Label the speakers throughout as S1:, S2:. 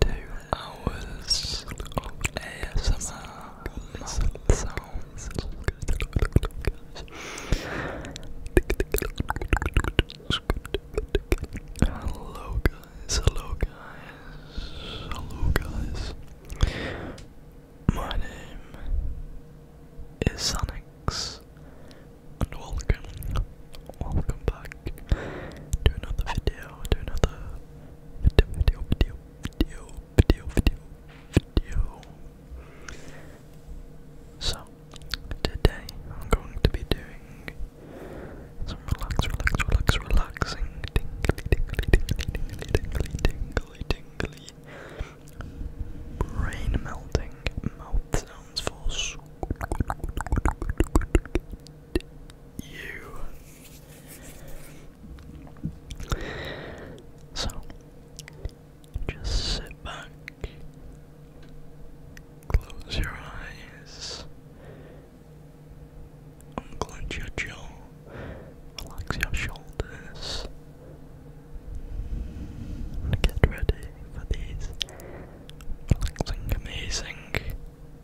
S1: Two hours of ASMR sounds. Hello guys, hello guys, hello guys. My name is Sanix, and welcome, welcome back to another video, to another so, today I'm going to be doing some relax, relax, relax, relaxing, tingly, tingly, tingly, tingly, tingly, tingly, tingly, brain melting mouth sounds for you. So, just sit back, close your eyes, unclench your jaw, relax your shoulders, and get ready for these relaxing, amazing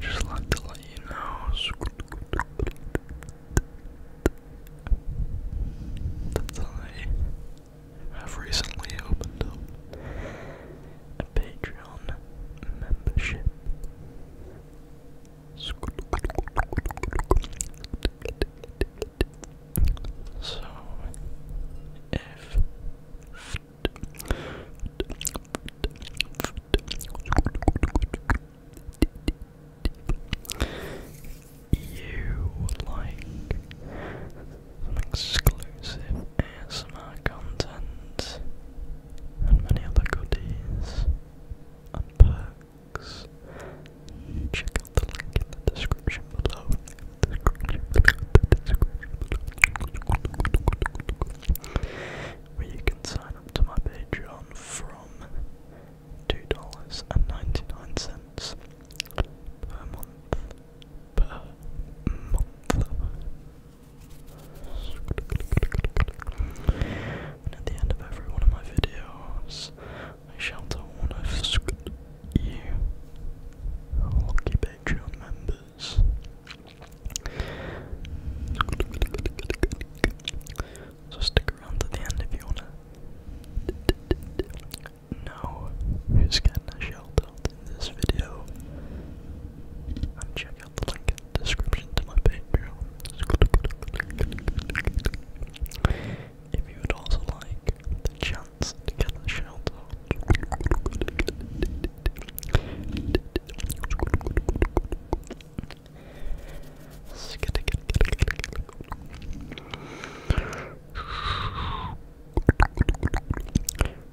S1: Just like to let you know that I have recently opened up Patreon membership. So, if you like exclusive ASMR content, and many other goodies and Check out the link in the description below. Where you can sign up to my Patreon from $2.99 per month. Per month. And at the end of every one of my videos, I shout out one of you lucky Patreon members. So stick around to the end if you wanna know who's getting a shout out in this video. check out the link in the description to my Patreon. If you would also like the chance to get a shout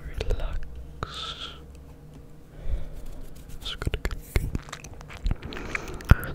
S1: relax. It's good, good, good. Relax.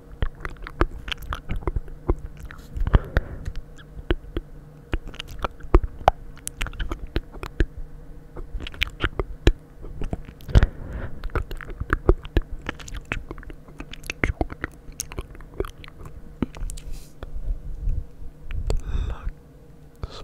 S1: Lux. Lux.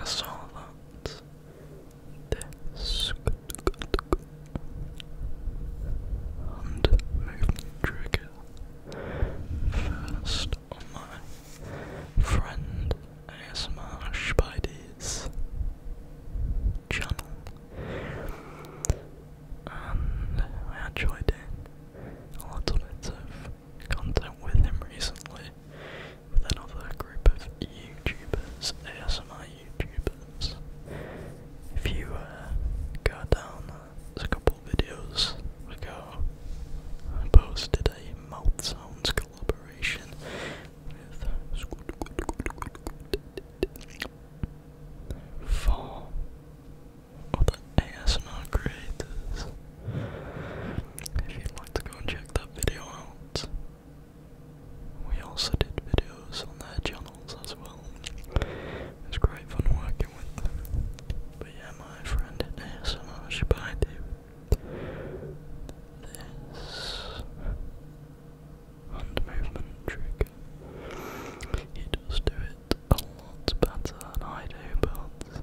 S1: I saw that this hand movement trigger first on my friend ASMR Spidey's channel. And I enjoyed did a little bit of content with him recently with another group of YouTubers, ASMR YouTubers. If you uh, go down, uh, a couple of videos ago, I posted a mouth sounds collaboration with Squid, fall or the ASMR creators. If you'd like to go and check that video out, we also did videos on their channels as well. It's great fun working with But yeah, my friend at ASMR Shabadi. This hand movement trigger. He does do it a lot better than I do, but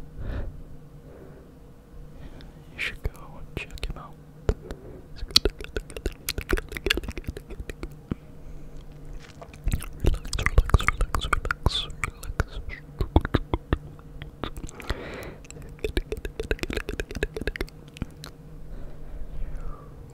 S1: you should go and check him out. Relax, relax, relax, relax, relax.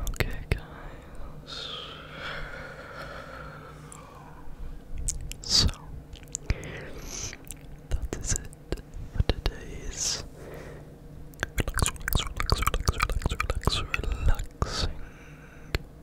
S1: Okay, guys. So that is it for today's relax, relax, relax, relax, relax, relax, relaxing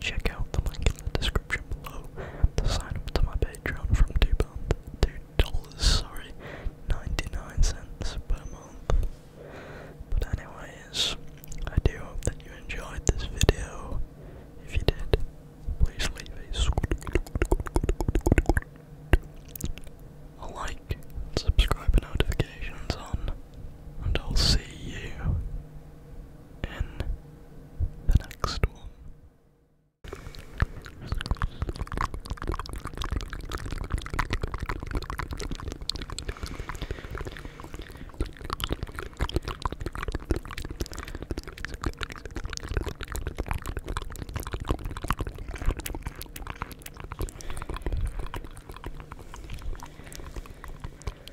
S1: Check out the link in the description below to sign up to my Patreon from two pound two dollars, sorry, ninety-nine cents per month. But anyways, I do hope that you enjoyed this video. If you did, please leave a like, subscribe and notifications on and I'll see you in the next one.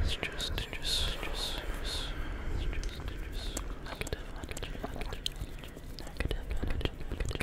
S1: It's just, just, just, just, just, just negative energy, energy, negative energy, negative energy.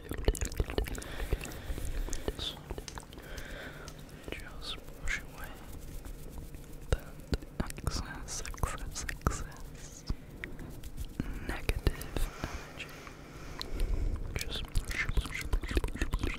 S1: Just, just wash away that excess, excess, excess negative energy. Just push, push, push, push, push.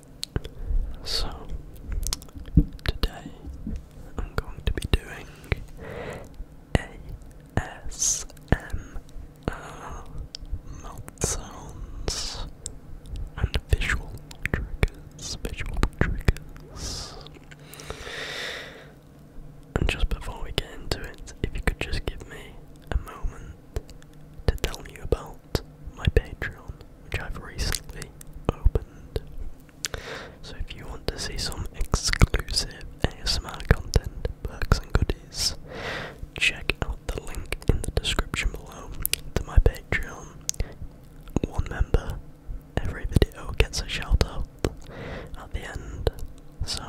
S1: so, today I'm going to be doing ASMR mouth sounds and visual triggers, visual triggers. And just before we get into it, if you could just give me a moment to tell you about my Patreon, which I've recently opened. So if you want to see some exclusive ASMR content, perks and goodies, check out the link in the description below to my Patreon. One member, every video gets a shout out at the end. So,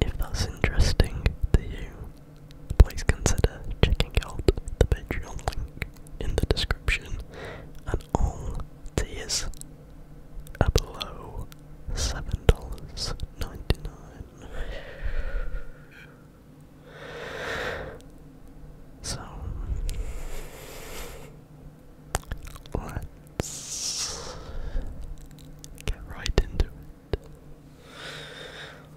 S1: if that's interesting to you, please consider checking out the Patreon link in the description and all tiers are below $7.99. So let's get right into it.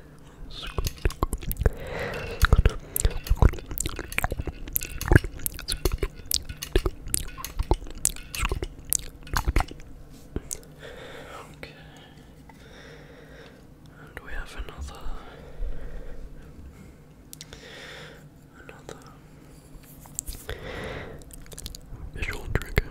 S1: Okay. And we have another another visual trigger.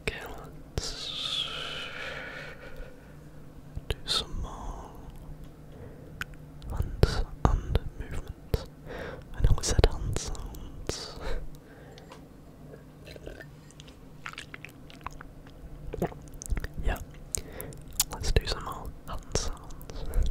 S1: Okay, let's do some more hands and movements. I know we said hand sounds. yeah, let's do some more hand sounds.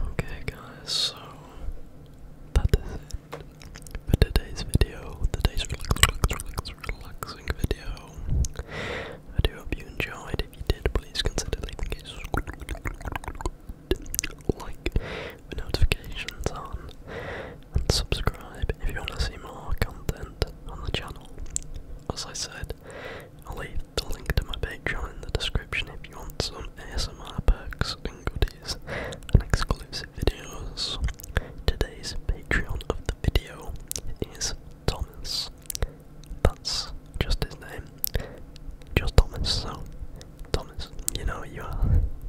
S1: Okay, guys, so that is it for today's video. Today's relax, relaxing video. I do hope you enjoyed. If you did, please consider leaving a like notifications on, and subscribe if you want to see more content on the channel. As I said, I'll leave the link to my Patreon in the description if you want some ASMR perks and goodies and exclusive videos. Today's Patreon of the video is Thomas. That's just his name. Just Thomas, so Thomas, you know who you are.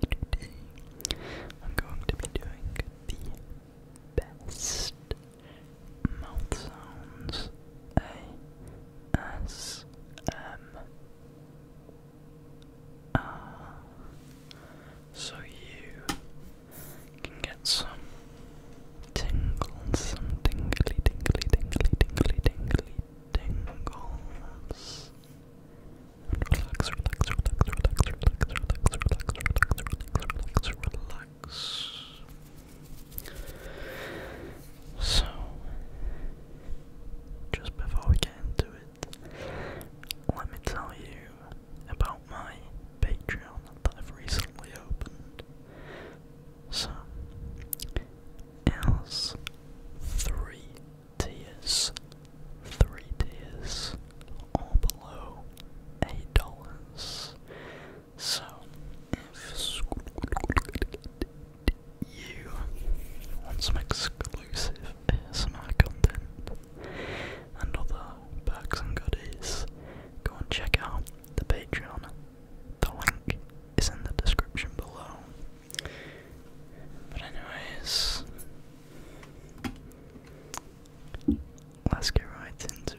S1: today I'm going to be doing the best mouth sounds ASMR. So you can get some tingles, some tingly, tingly, tingly, tingly, tingly, tingles. Relax, relax, relax, relax, relax, relax, relax, relax, relax, relax. So, just before we get into it, let me tell you about my Patreon that I've recently opened. So, it three tiers, three tiers, or below eight dollars. So if you want some exclusive ASMR content and other perks and goodies, go and check out the Patreon. The link is in the description below. But anyways, Let's get right into it.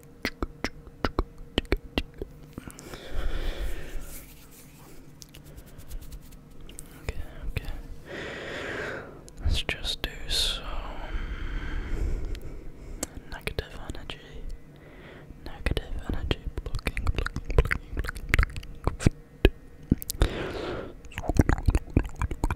S1: Okay, okay. Let's just do some negative energy. Negative energy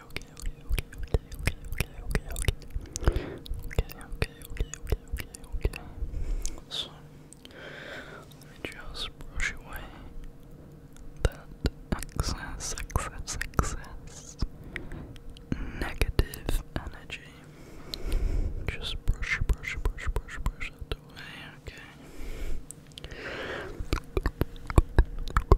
S1: okay, okay, okay, okay, okay, okay, okay, okay, okay, okay, okay, okay, okay. So let me just brush away that excess, excess, excess negative energy. Just brush, brush, brush, brush, brush that away. Okay. Okay,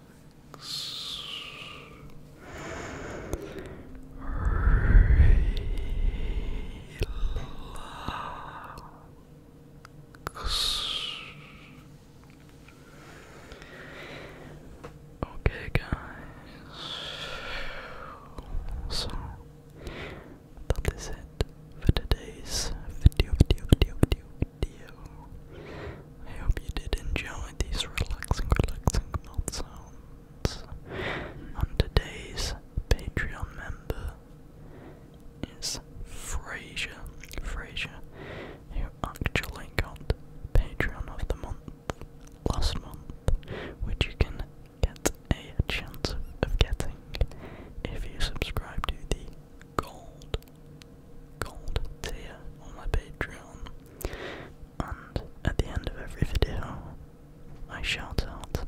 S1: relax. Okay, guys. So that is it for today's video, video, video, video, video. I hope you did enjoy these relaxing, relaxing mouth sounds. And today's Patreon member is Fraser. Fraser, who actually got Patreon of the month last month, which you can get a chance of getting if you subscribe to the gold gold tier my Patreon. And at the end of every video, I shout out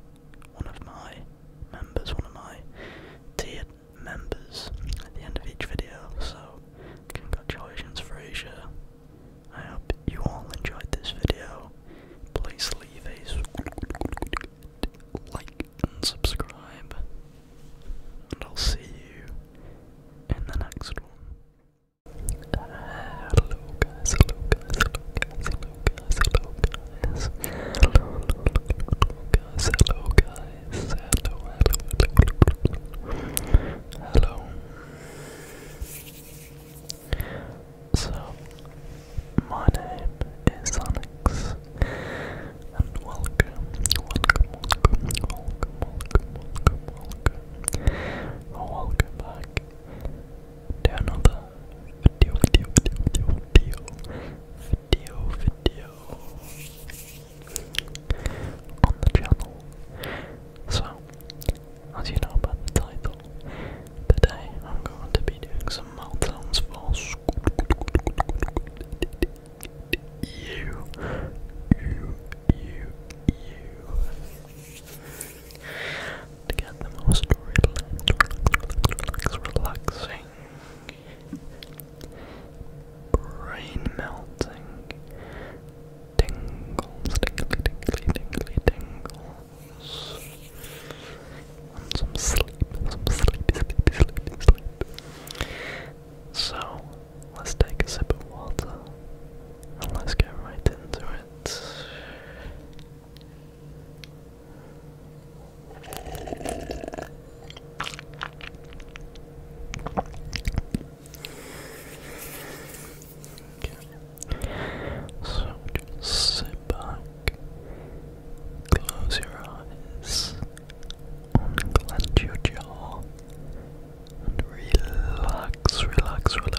S1: one of my members, one of my tiered members at the end of each video. So, congratulations, Frasier. I hope you all enjoyed this video. Please leave a like and subscribe, and I'll see you in the next one. hello guys, hello guys, hello guys, hello guys, hello Hello, guys, hello guys, hello, hello, So, my name is Onyx and welcome, welcome, welcome, welcome, welcome, welcome, welcome, back to another video, video, video, video, video, video on the channel. So, as you know by the title, today I'm going to be doing some meltdowns for school you, you, you, you, to get the most relaxing, brain melting tingles, tingly, tingly, tingly, tingles, some sleep, some sleepy, sleepy, sleepy, sleep. So, let's take a sip of water and let's get right into it. So just sit back, close your eyes, Unclench your jaw and relax, relax, relax, relax, relax, relax, relax.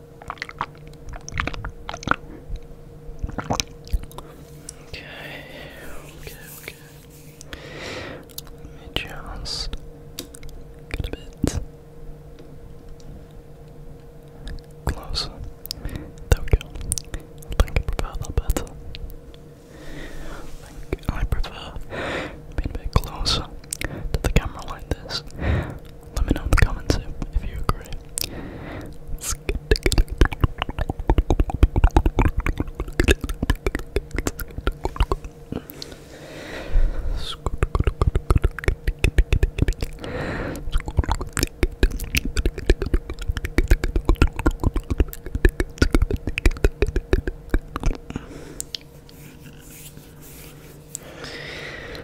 S1: Okay, okay, okay. Let me just get a bit closer. There I think I prefer that better. I think I prefer being a bit closer to the camera like this. Let me know in the comments if, you agree.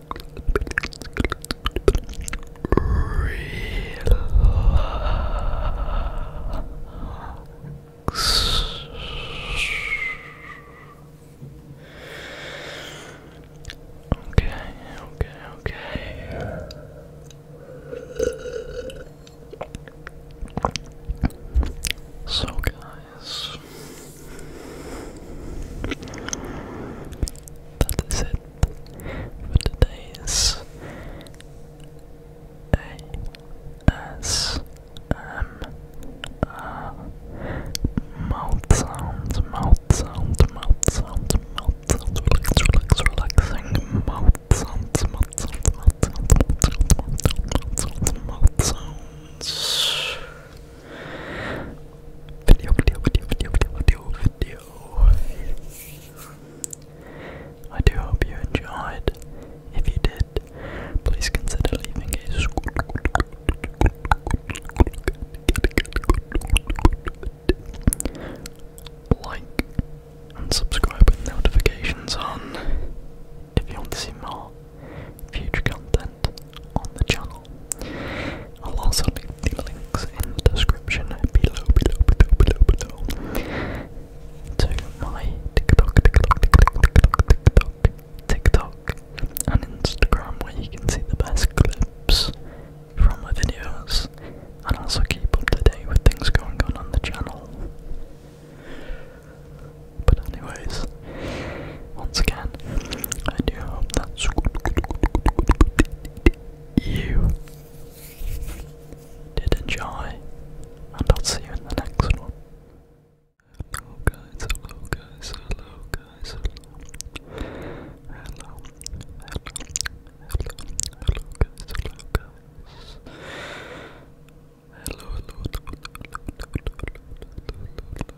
S1: Okay, okay, okay. So, guys, that is it for today's ASMR mouth sounds, mouth sounds, mouth sounds, mouth sounds, relax, relax, relaxing, mouth sounds, mouth sounds, mouth sounds, mouth sounds, mouth sounds, mouth sounds, Video, video, video, video, video, video, I do hope you enjoyed. If you did, please consider leaving a like and subscribe with notifications on if you want to see more future content on the channel. I'll also leave the links in the description below, below, below, below, below to my TikTok, TikTok, TikTok, TikTok, TikTok, TikTok, and Instagram where you can see the best clips from my videos and also keep up to date with things going on on the channel. But anyways, once again, I do hope that's good, you did enjoy, and I'll see you in the next one. Hello guys, hello guys, hello guys, hello, hello, hello, hello, hello guys, hello guys. Hello, hello, hello, hello, hello, hello, hello, hello, hello.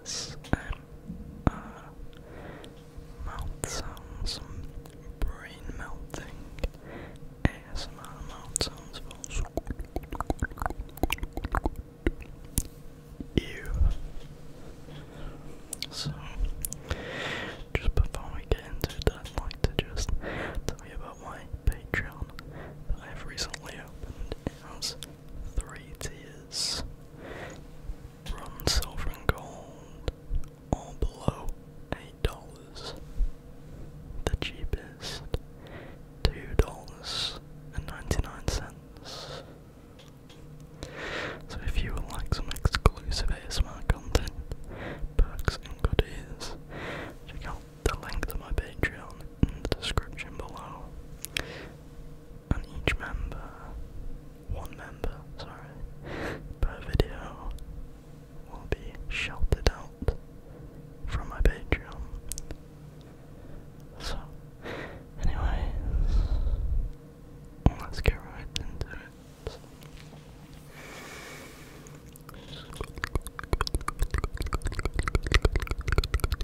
S1: yes, uh, mouth sounds, brain melting, ASMR mouth sounds for you. So, just before we get into it, I'd like to just tell you about my Patreon that I have recently opened. It has three tiers from silver, and gold, all below $8. The cheapest $2.99. So if you would like some exclusive ASMR content, perks and goodies, check out the link to my Patreon in the description below. And each member, one member, sorry, per video will be sheltered out from my Patreon. So, anyways, let's get right into it.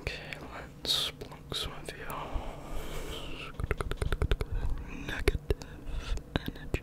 S1: Okay, let's plunk some of your negative energy.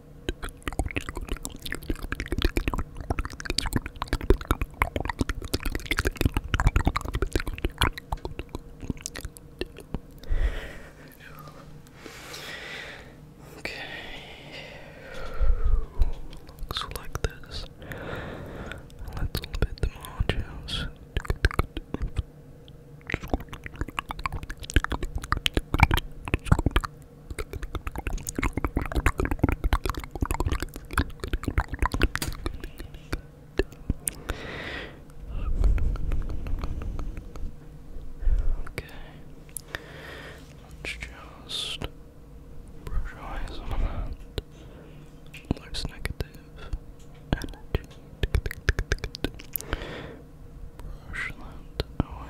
S1: Okay. Looks like this. Let's bit the modules. Okay, let's just brush away some of that life's negative energy. Brush that away.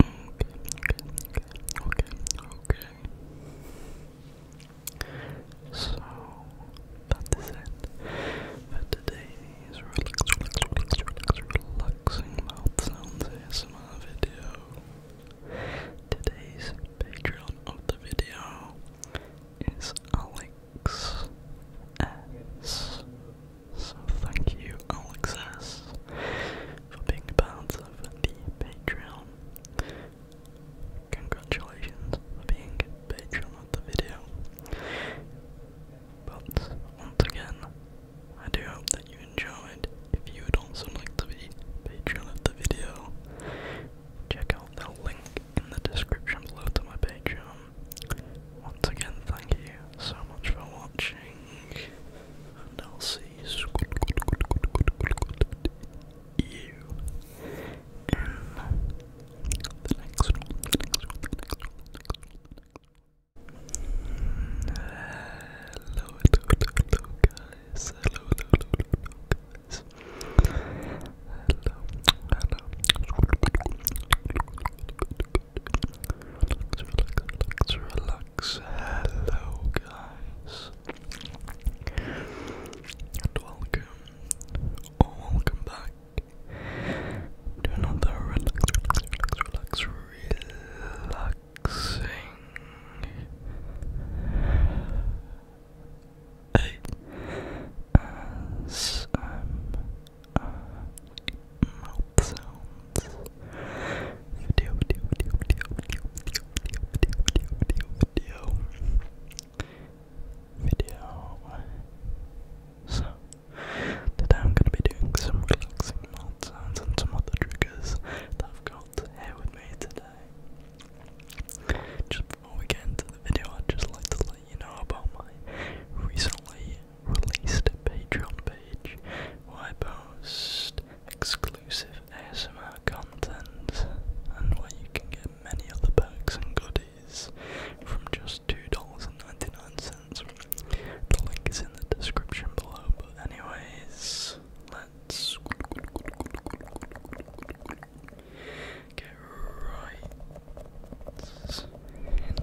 S1: okay, okay. So that is it for today's relaxing mouth sounds ASMR video. Today's Patreon of the video is Alex S. So thank you, Alex S. For being a bouncer of the Patreon. Congratulations for being patron of the video. But once again, I do hope that you enjoyed. If you would also like to be patron of the video, check out the link in the description below to my Patreon. Once again, thank you so much for watching and I'll see you in the next one. Hello, hello, hello, hello Hello, hello, hello, relax. Hello, guys, and welcome or welcome back to another relax, relax, relax, relaxing as uh, sounds. So, today I'm going to be doing some relaxing mouth sounds and some other triggers that I've got here with me today. Just before we get into the video, i just like to let you know about my recently released Patreon page where post exclusive exclusive ASMR content and where you can get many other perks and goodies from just $2.99. The link is in the description below, but anyways, let's get right into it.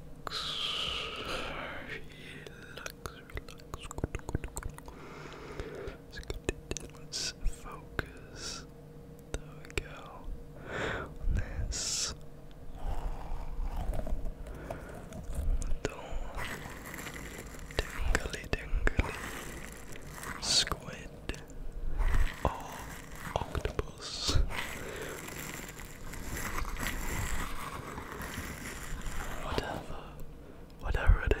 S1: relax. Focus. There we go. On this. Little dingly dingly squid. Oh, octopus else. Whatever. Whatever it is.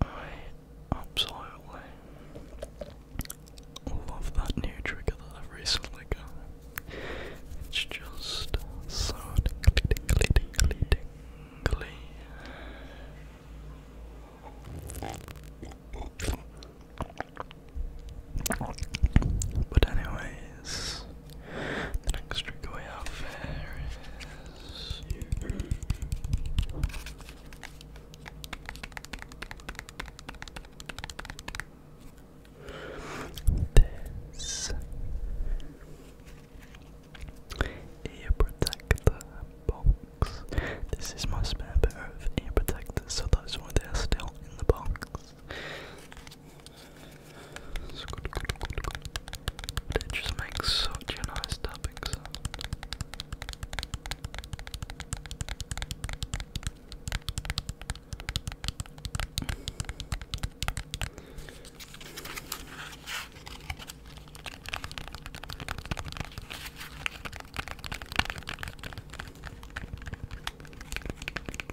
S1: I absolutely love that new trigger that I've recently got. It's just so but anyways, the next trick we have here is this ear protector box. This is my spare pair of ear protectors, so that's why they're still in the box. It's It just makes such a nice topic.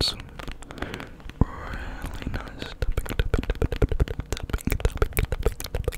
S1: Some really nice topic, topic, topic, topic, topic, topic, topic,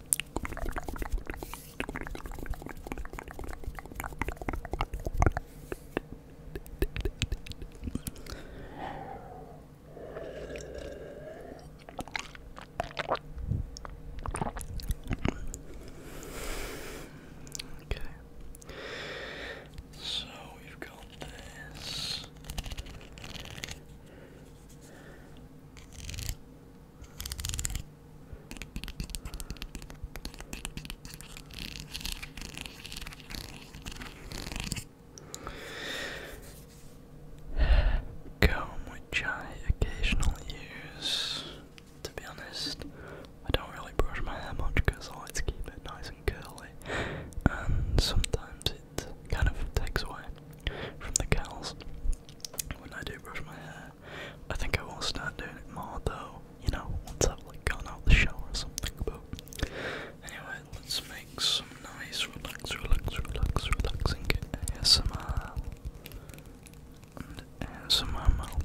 S1: Okay. So we've got this. Comb, which I occasionally use. To be honest, I don't really brush my hair much because I like to keep it nice and curly, and sometimes it kind of takes away from the curls when I do brush my hair. I think I will start doing it more though, you know, once I've like gone out the shower or something. But anyway, let's make some nice, relax, relax, relax, relaxing ASMR and ASMR mouth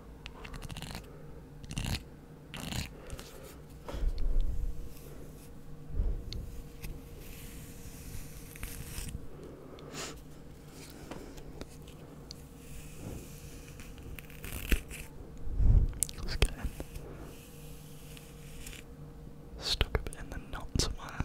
S1: Let's Stuck a bit in the knots, man.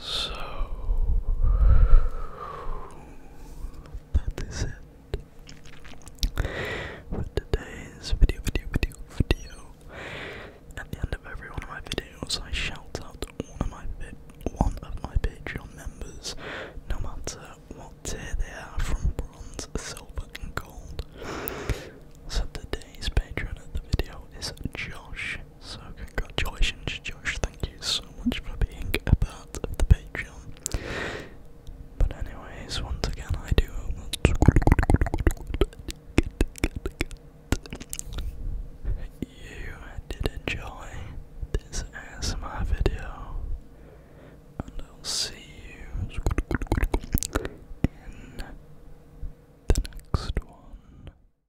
S1: So that is it for today's video, video, video, video. At the end of every one of my videos, I shout out one of my one of my Patreon members, no matter what tier they are, from bronze, silver, and gold. So today's patron of the video is Josh, so congratulations Josh, thank you so much for being a part of the Patreon. But anyways, once again I do you did enjoy this ASMR video and I'll see you in the next one.